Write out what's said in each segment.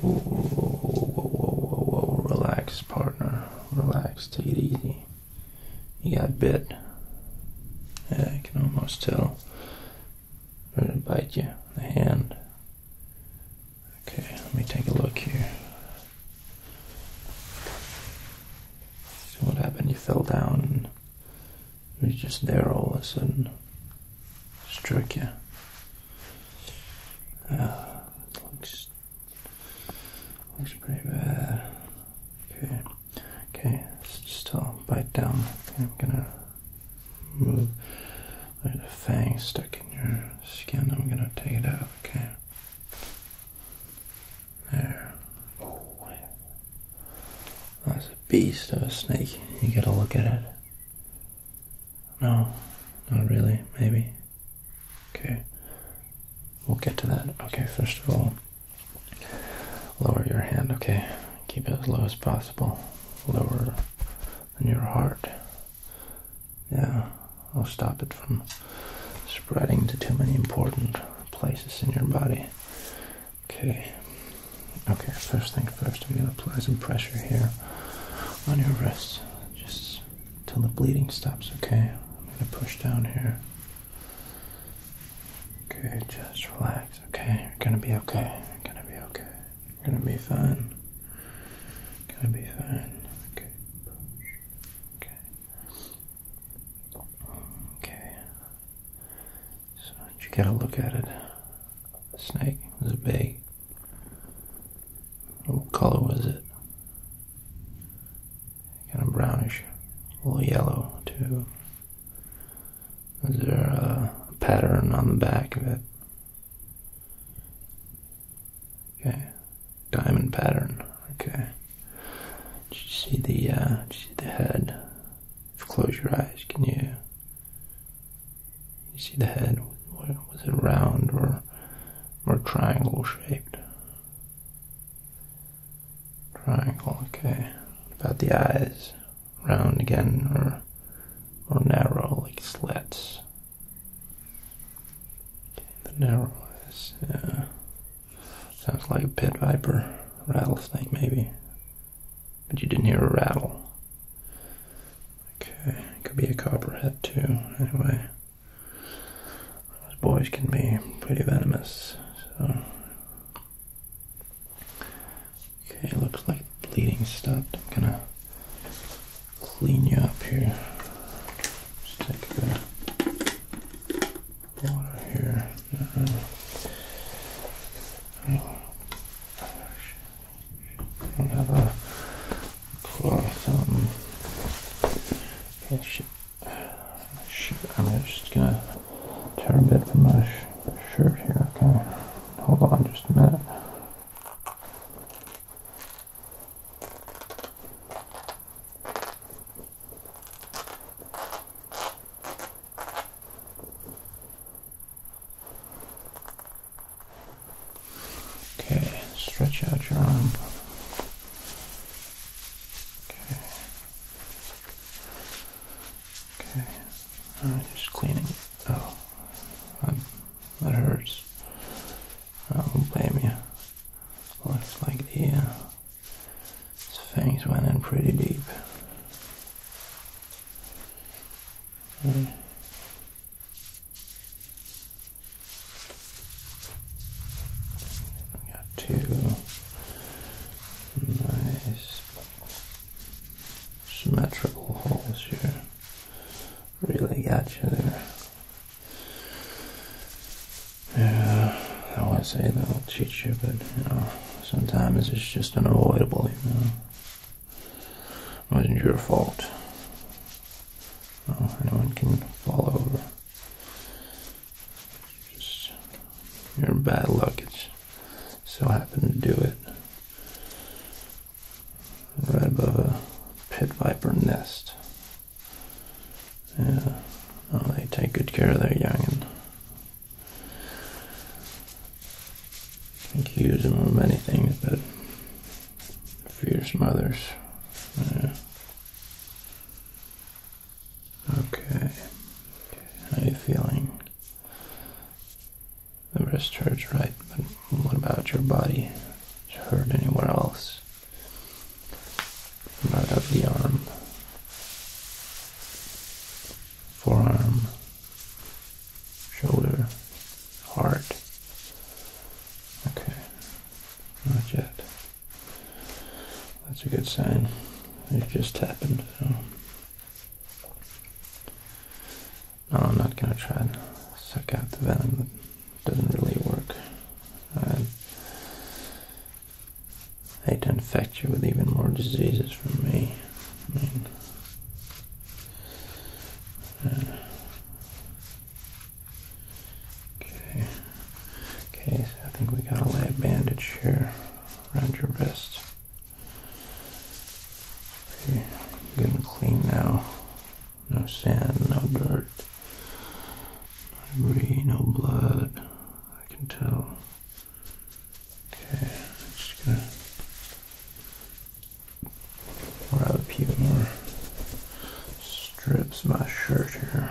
Whoa, whoa, whoa, whoa, whoa! relax, partner. Relax, take it easy. You got bit. Yeah, I can almost tell. i to bite you the hand. Okay, let me take a look here. So what happened? You fell down and it was just there all of a sudden. Struck you. Uh, looks looks pretty bad. Okay, okay, let's uh, bite down. I'm gonna move. There's a fang stuck in your skin. I'm gonna take it out. Okay. There. Oh, that's a beast of a snake. You gotta look at it. No, not really, maybe. Okay, we'll get to that. Okay, first of all, lower your hand, okay? Keep it as low as possible. Lower than your heart. Yeah, I'll stop it from spreading to too many important places in your body. Okay. Okay, first thing first, I'm going to apply some pressure here on your wrist just till the bleeding stops, okay? I'm going to push down here. Okay, just relax, okay? You're going to be okay. You're going to be okay. You're going to be fine. going to be fine. Okay, Okay. Okay. So, you get a look at it? The snake was big. What color was it? Kind of brownish, a little yellow too. Is there a pattern on the back of it? Okay, diamond pattern. Okay. Did you see the? Uh, you see the head? close your eyes, can you you see the head, was it round or more triangle shaped? Triangle, okay. about the eyes? Round again or or narrow like slits? Okay, the narrow eyes, yeah. Sounds like a pit viper, rattlesnake maybe. But you didn't hear a rattle. Okay, could be a copperhead too, anyway. Those boys can be pretty venomous, so. Okay, looks like bleeding stopped. I'm gonna clean you up here. Just take water here. Uh-huh. Oh, we have a cloth um, sheet. I'm just gonna tear a bit from my shirt here. Okay, hold on just a minute. Okay, stretch out your arm. Okay. Okay. I'm just cleaning. Oh, um, that hurts. I don't blame you. Looks like the fangs uh, went in pretty deep. Okay. We got two nice symmetrical holes here. Really got you there. Yeah, I want to say that'll teach you, but you know, sometimes it's just unavoidable, you know. It wasn't your fault. anyone can fall over. Just your bad luck. It's so happened to do it. Right above a pit viper nest. Yeah. Well, they take good care of their young. young'un. Accuse them of many things, but Fierce mothers. Okay. How are you feeling? The wrist hurts, right? But what about your body? hurt anywhere else? What about up the arm? Forearm? shoulder, heart. Okay, not yet. That's a good sign. It just happened. So. No, I'm not gonna try and suck out the venom. That doesn't really work. I'd infect you with even more diseases from me. Uh, okay. Okay, I think we got a lay bandage here around your wrist. Getting clean now. No sand, no dirt, no debris, no blood. I can tell. Okay, just gonna grab a few more strips of my shirt here.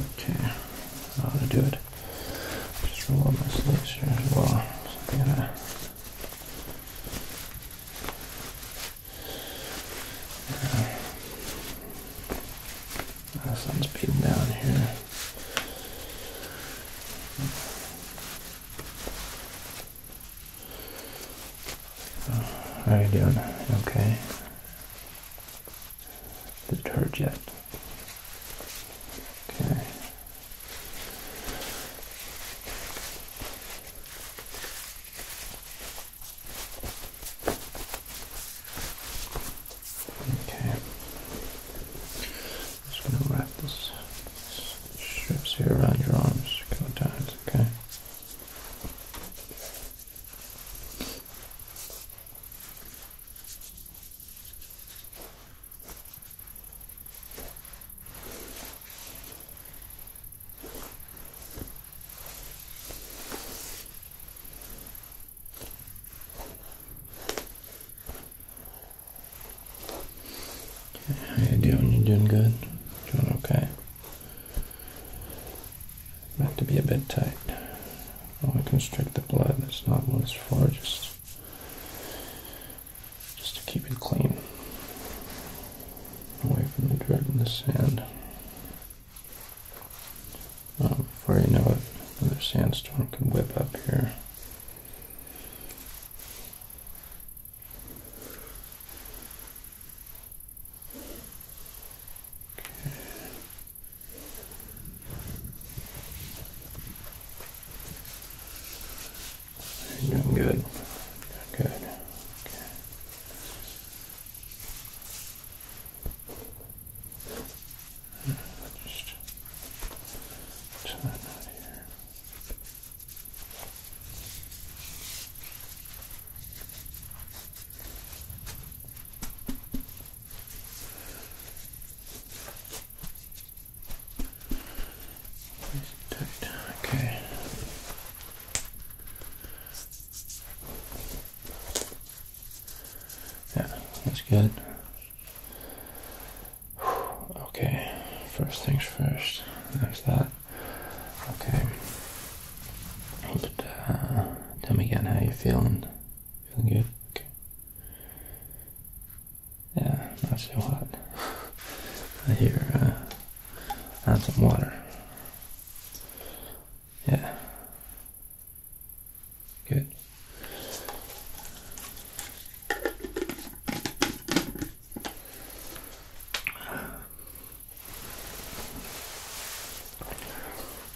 Okay, I'll do it. Just roll up my sleeves here as well. So I gotta yeah. The sun's beating down here. how are you doing? Okay. Did it hurt yet? Okay. Okay. Just gonna wrap this strips here around your arms a couple times, okay? How you doing? You are doing good? Doing okay? Meant to be a bit tight. I want to constrict the blood. That's not what it's for. Just, just to keep it clean away from the dirt and the sand. Um, before you know it, another sandstorm can whip up here. You're doing good. Good. Just turn that here. Tight. Okay. Yeah, that's good. Okay, first things first. There's that. Okay. Uh, tell me again how you're feeling. Feeling good? Okay. Yeah, not so hot. I hear, uh, add some water. Yeah. Good.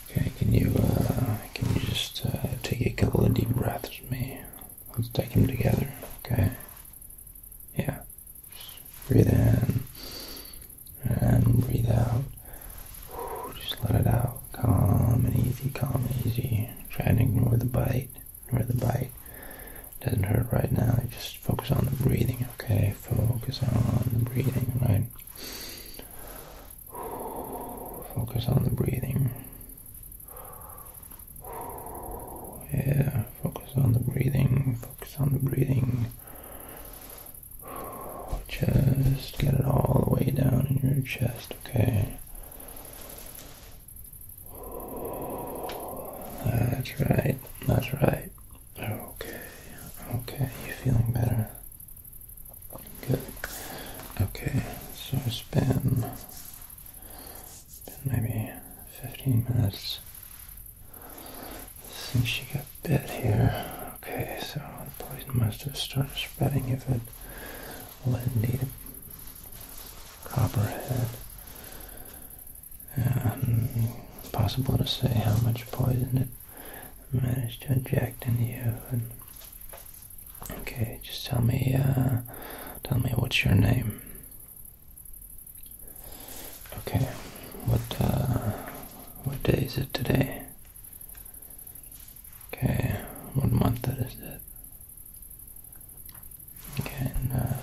Okay, can you uh, can you just uh, take a couple of deep breaths with me? Let's take them together, okay? Yeah. Breathe in and breathe out. Just let it out. Calm and easy, calm and easy. Try and ignore the bite. Ignore the bite. Doesn't hurt right now. Just focus on the breathing, okay? Focus on the breathing, right? Focus on the breathing. Yeah, focus on the breathing. Focus on the breathing. Just get it all the way down in your chest, okay? That's right, that's right. Okay, okay, you feeling better? Good. Okay, so it's been, been maybe 15 minutes since you got bit here. Okay, so the poison must have started spreading if it landed copperhead. Um, impossible to say how much poison it managed to inject in you. okay, just tell me, uh, tell me what's your name. Okay, what uh, what day is it today? Okay, what month that is it? Okay, and, uh,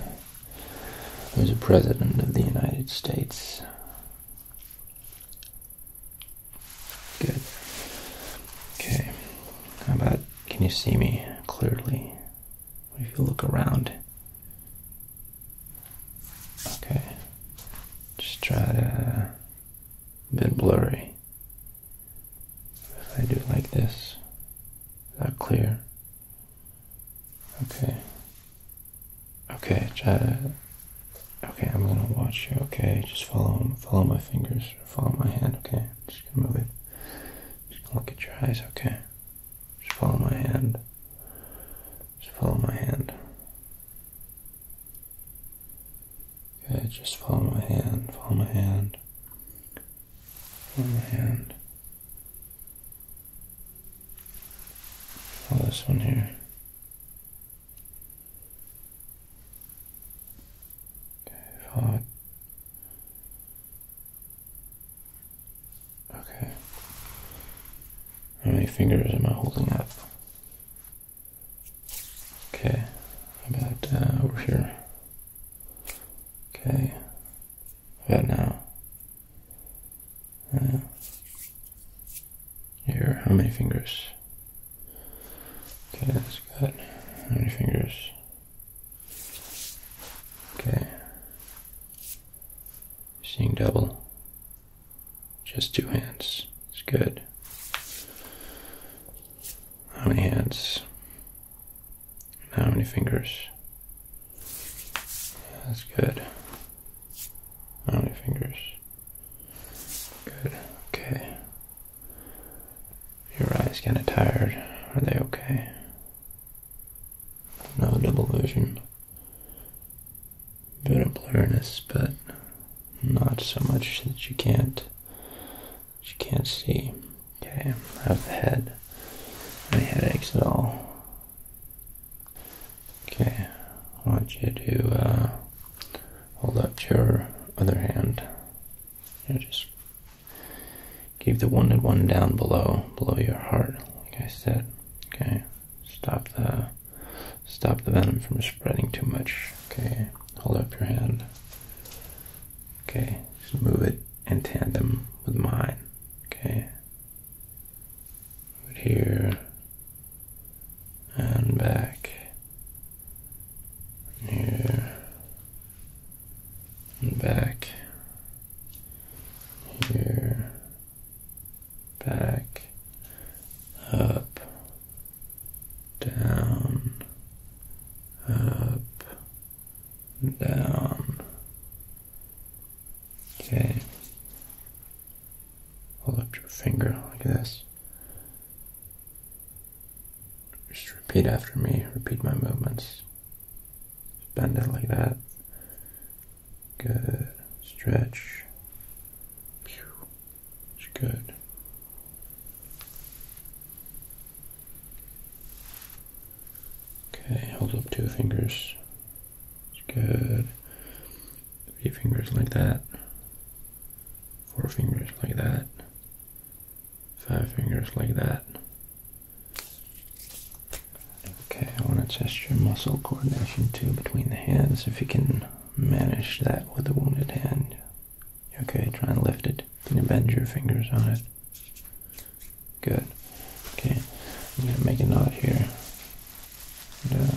who's the president of the United States? Good. Okay, how about can you see me clearly? if you look around. Okay, just try to. A bit blurry. If I do like this, not clear? Okay. Okay, try Okay, I'm gonna watch you. Okay, just follow follow my fingers, follow my hand. Okay, just gonna move it. Just look at your eyes. Okay, just follow my hand. Just follow my hand. Okay, just follow my hand, follow my hand, follow my hand. Follow this one here. Okay, follow it. Okay. How many fingers am I holding up? Okay. about uh, over here? Okay. How about now? Uh, here, how many fingers? Okay, that's good. How many fingers? Okay. Seeing double. Just two hands. It's good. How many hands? how many fingers? That's good. How many fingers? Good. Okay. Your eyes kind of tired. Are they okay? No double vision. Bit of blurriness, but not so much that you can't you can't see. Okay, out I've had any headaches at all. Okay, I want you to uh, hold up your other hand. You just keep the wounded one down below, below your heart, like I said. Okay stop the stop the venom from spreading too much. Okay, hold up your hand. Okay, just move it in tandem with mine. Okay. Move here and back. Here and back. Here back, up, down, up, down. Okay. Hold up your finger like this. Just repeat after me, repeat my movements. Bend it like that. Good. Stretch. It's good. Okay, hold up two fingers. It's good. Three fingers like that. Four fingers like that. Five fingers like that. Okay, I want to test your muscle coordination too between the hands if you can manage that with a wounded hand. Okay, try and lift it. Can you bend your fingers on it? Good. Okay, I'm going to make a knot here. And, uh,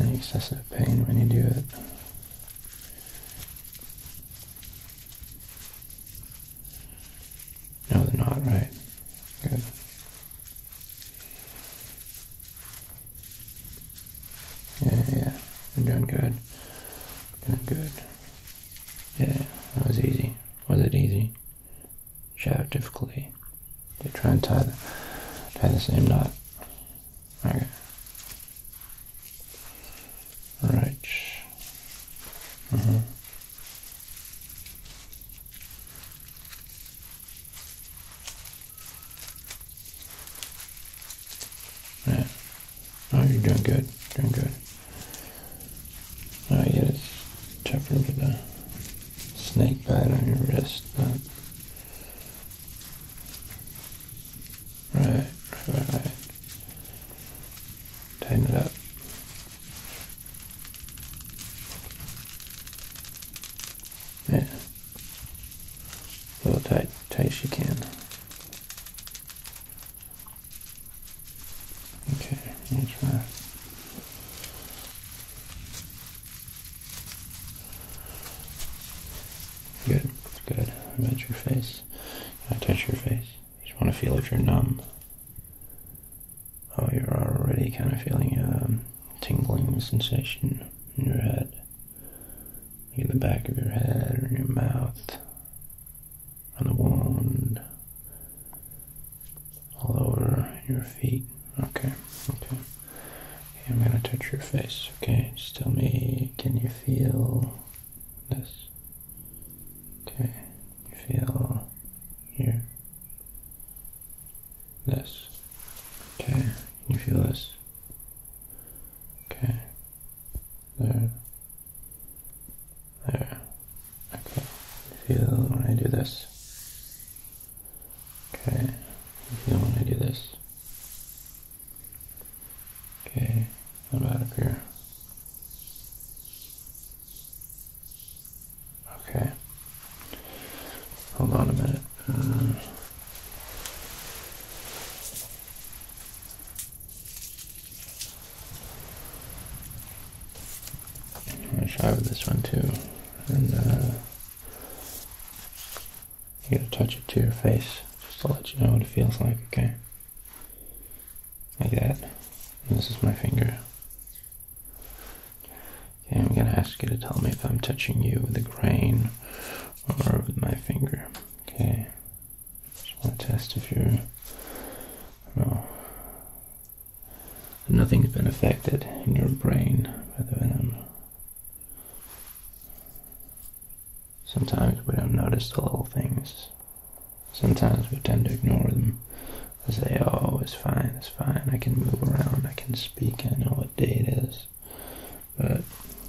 Any excessive pain when you do it. No, they're not, right? Good. Yeah, yeah, you're doing good. Doing good. Yeah, that was easy. Was it easy? share difficulty. You try and tie the, tie the same knot. Okay. Right. Mm mm-hmm. Yeah. Oh, you're doing good. Doing good. Oh, yeah, it's tougher with the snake bite on your wrist. That Right, right, right, Tighten it up. Yeah. A little tight, tight as you can. Okay, here's my Good, good. How about your face? I touch your face? You just want to feel if you're numb. Oh, you're already kind of feeling a um, tingling sensation in your head. In the back of your head or your mouth. On the wand all over your feet. Okay, okay. I'm gonna touch your face. Okay, just tell me, can you feel this? Okay, you feel here. This. Okay, Can you feel this. Okay. There. There. Okay. feel when I do this. Okay, now when I do this. Okay, I'm out of here. Okay. Hold on a minute. Uh, I'm gonna try with this one too. And uh, you gotta touch it to your face just to let you know what it feels like, okay? Like that. this is my finger. Okay, I'm gonna ask you to tell me if I'm touching you with the grain or with my finger. Okay. Just wanna test if you're nothing's been affected in your brain by the venom. Sometimes we don't notice the little things. Sometimes we tend to ignore them. I say, oh, it's fine, it's fine, I can move around, I can speak, I know what day it is. But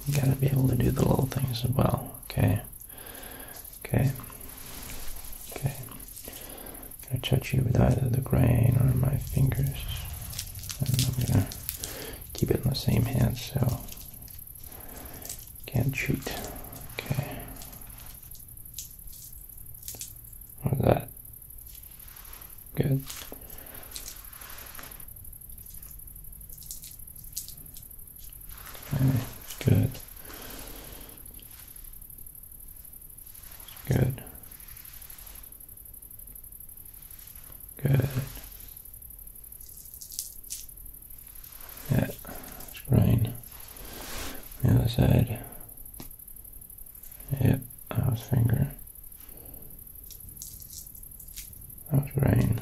you gotta be able to do the little things as well, okay? Okay? Okay. I touch you with either the grain or my fingers, and I'm gonna keep it in the same hand so can't cheat. Okay. What was that? Good. Okay, good. Good. Good. Yeah, it's green. The other side. Yep, that was finger. That was green.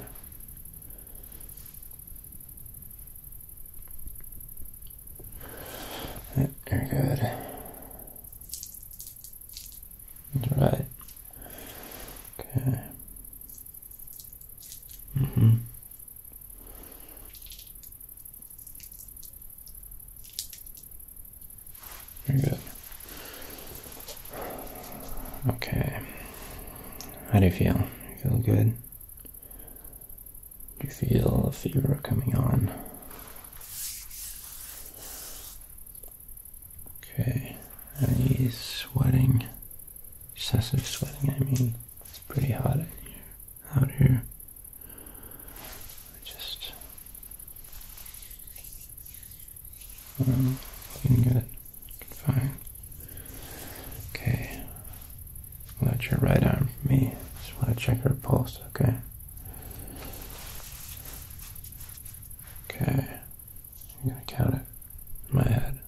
Yep, you're good. Right. Okay. Mm-hmm. good. Okay. How do you feel? You feel good? Do you feel a fever coming on? Okay, he's sweating. Excessive sweating, I mean. It's pretty hot in here, out here. I just... Um, looking good. Fine. Okay. Let your right arm for me. Just want to check her pulse, okay? Okay, I'm gonna count it in my head.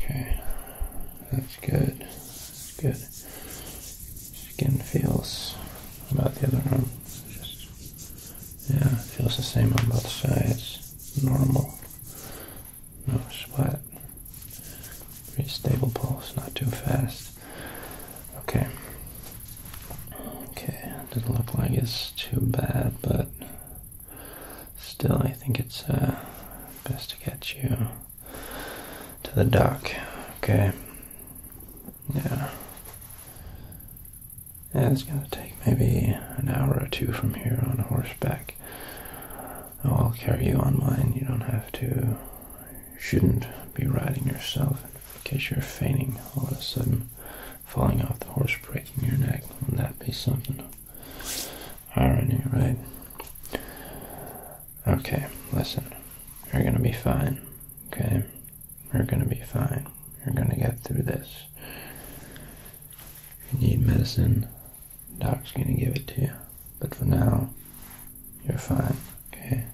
Okay, that's good. That's good. Skin feels about the other arm. yeah, feels the same on both sides. Normal. No sweat. Pretty stable pulse, not too fast. Okay. Okay, doesn't look like it's too bad, but Still, I think it's uh, best to get you to the dock, okay? Yeah. Yeah, it's gonna take maybe an hour or two from here on horseback. I'll carry you on mine. You don't have to, shouldn't be riding yourself in case you're fainting all of a sudden, falling off the horse, breaking your neck. Wouldn't that be something? Alright, right? Okay, listen. You're gonna be fine. Okay? You're gonna be fine. You're gonna get through this. If you need medicine, doc's gonna give it to you. But for now, you're fine. Okay?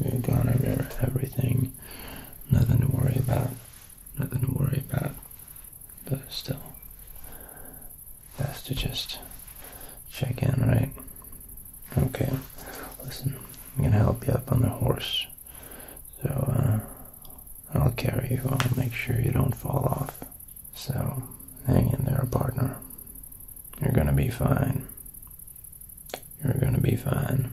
We've gone over everything. Nothing to worry about. Nothing to worry about but still, best to just check in, right? Okay, listen, I'm gonna help you up on the horse, so uh, I'll carry you. I'll make sure you don't fall off. So, hang in there, partner. You're gonna be fine. You're gonna be fine.